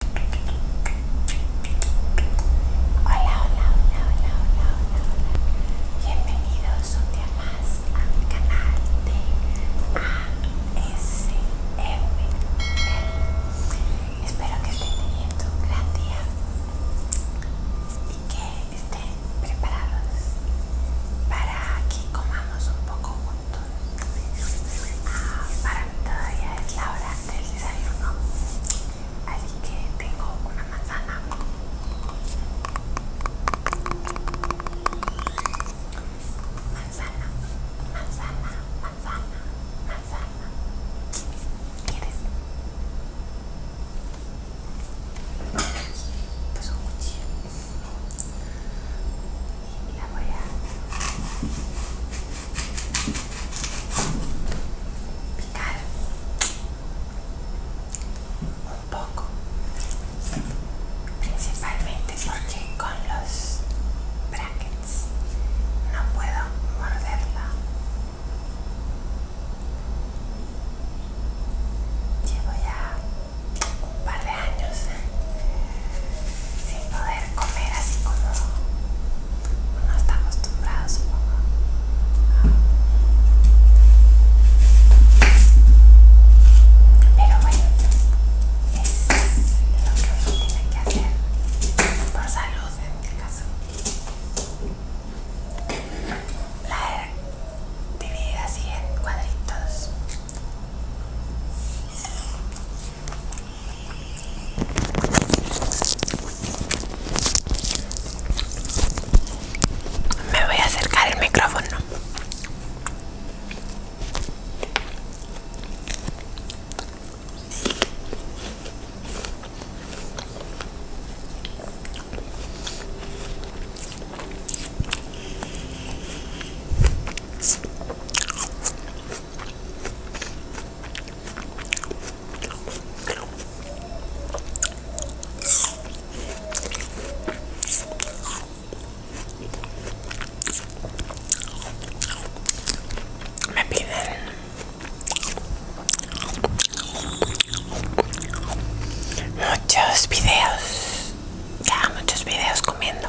Hola, hola, hola, hola, hola, hola, bienvenidos un día más a mi canal de ASML. Espero que estén teniendo un gran día y que estén preparados para que comamos un poco para mí todavía es la hora del desayuno, así que tengo una manzana, manzana, manzana, manzana, manzana. ¿Quieres? Pues un cuchillo y la voy a picar un poco principalmente porque con los brackets no puedo morderla llevo ya un par años sin poder comer así como uno está acostumbrado supongo pero bueno es lo que uno tiene que hacer por salud en este caso la dividida así en cuadritos me voy a acercar el micrófono. Me piden muchos videos, ya muchos videos comiendo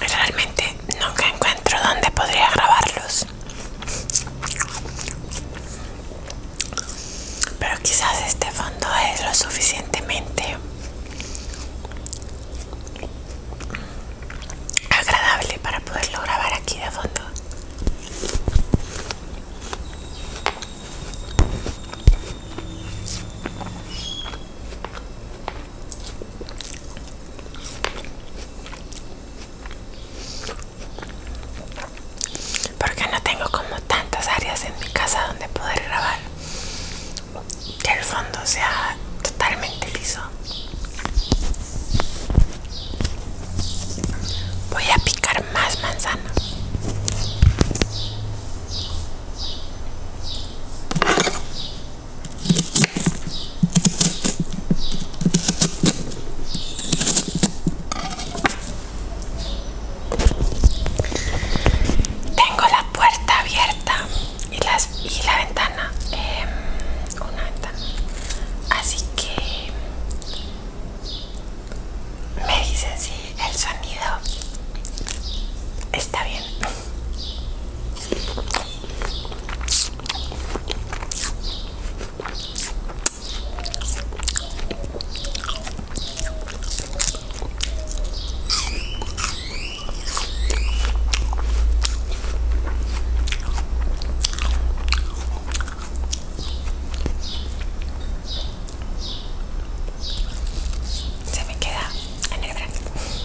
Realmente nunca encuentro dónde podría grabarlos. Pero quizás este fondo es lo suficientemente agradable para poderlo grabar aquí de fondo. Porque no tengo como tantas áreas en mi casa donde poder grabar. Que el fondo sea totalmente liso. Voy a picar más manzana. Tengo la puerta abierta y, las, y la ventana, eh, una así que me dicen si el sonido está bien. Se me queda en el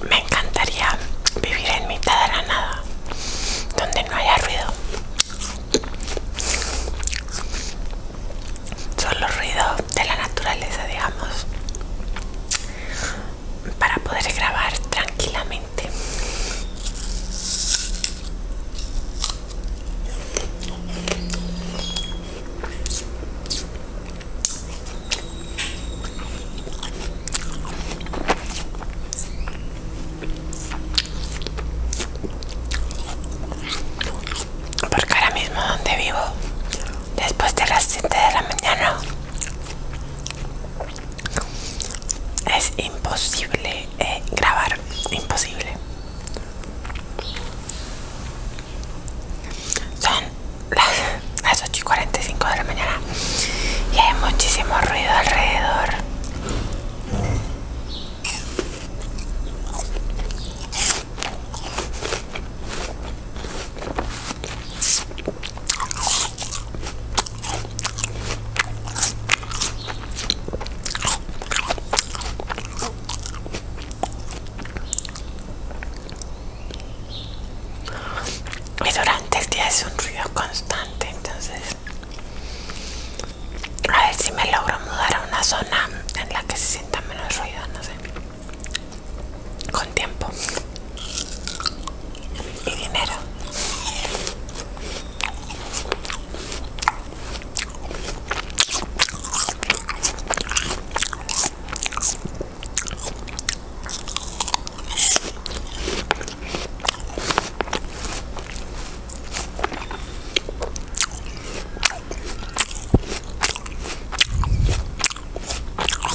Me encantaría vivir en mitad de la nada, donde no haya ruido. Solo ruido de la naturaleza, digamos para poder grabar tranquilamente porque ahora mismo donde vivo después de las 7 de la mañana es imposible eh, grabar, imposible. Son las, las 8 y 45 de la mañana y hay muchísimo ruido alrededor. Y durante el día es un ruido constante, entonces a ver si me logro mudar a una zona en la que se sienta menos ruido, no sé con tiempo y dinero.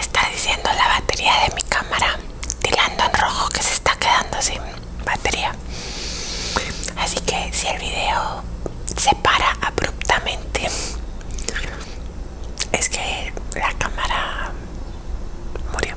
Está diciendo la batería de mi cámara, tirando en rojo que se está quedando sin batería. Así que si el video se para abruptamente, es que la cámara murió.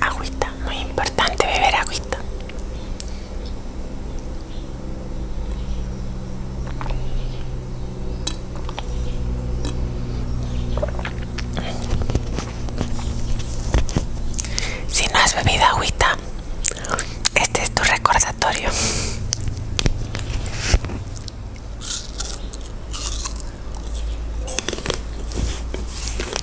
Agüita, muy importante beber agüita. Si no has bebido agüita, este es tu recordatorio.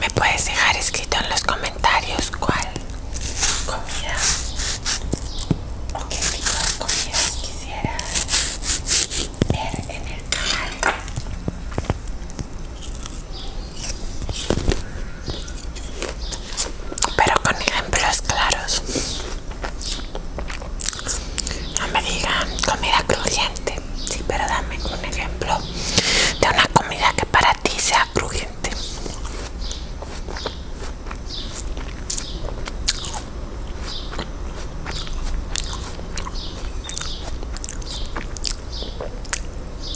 Me puedes dejar escrito en los comentarios cuál comida o qué tipo de comida quisieras ver en el canal pero con ejemplos claros. No me digan comida crujiente, sí, pero dame un ejemplo de una comida que para ti sea crujiente.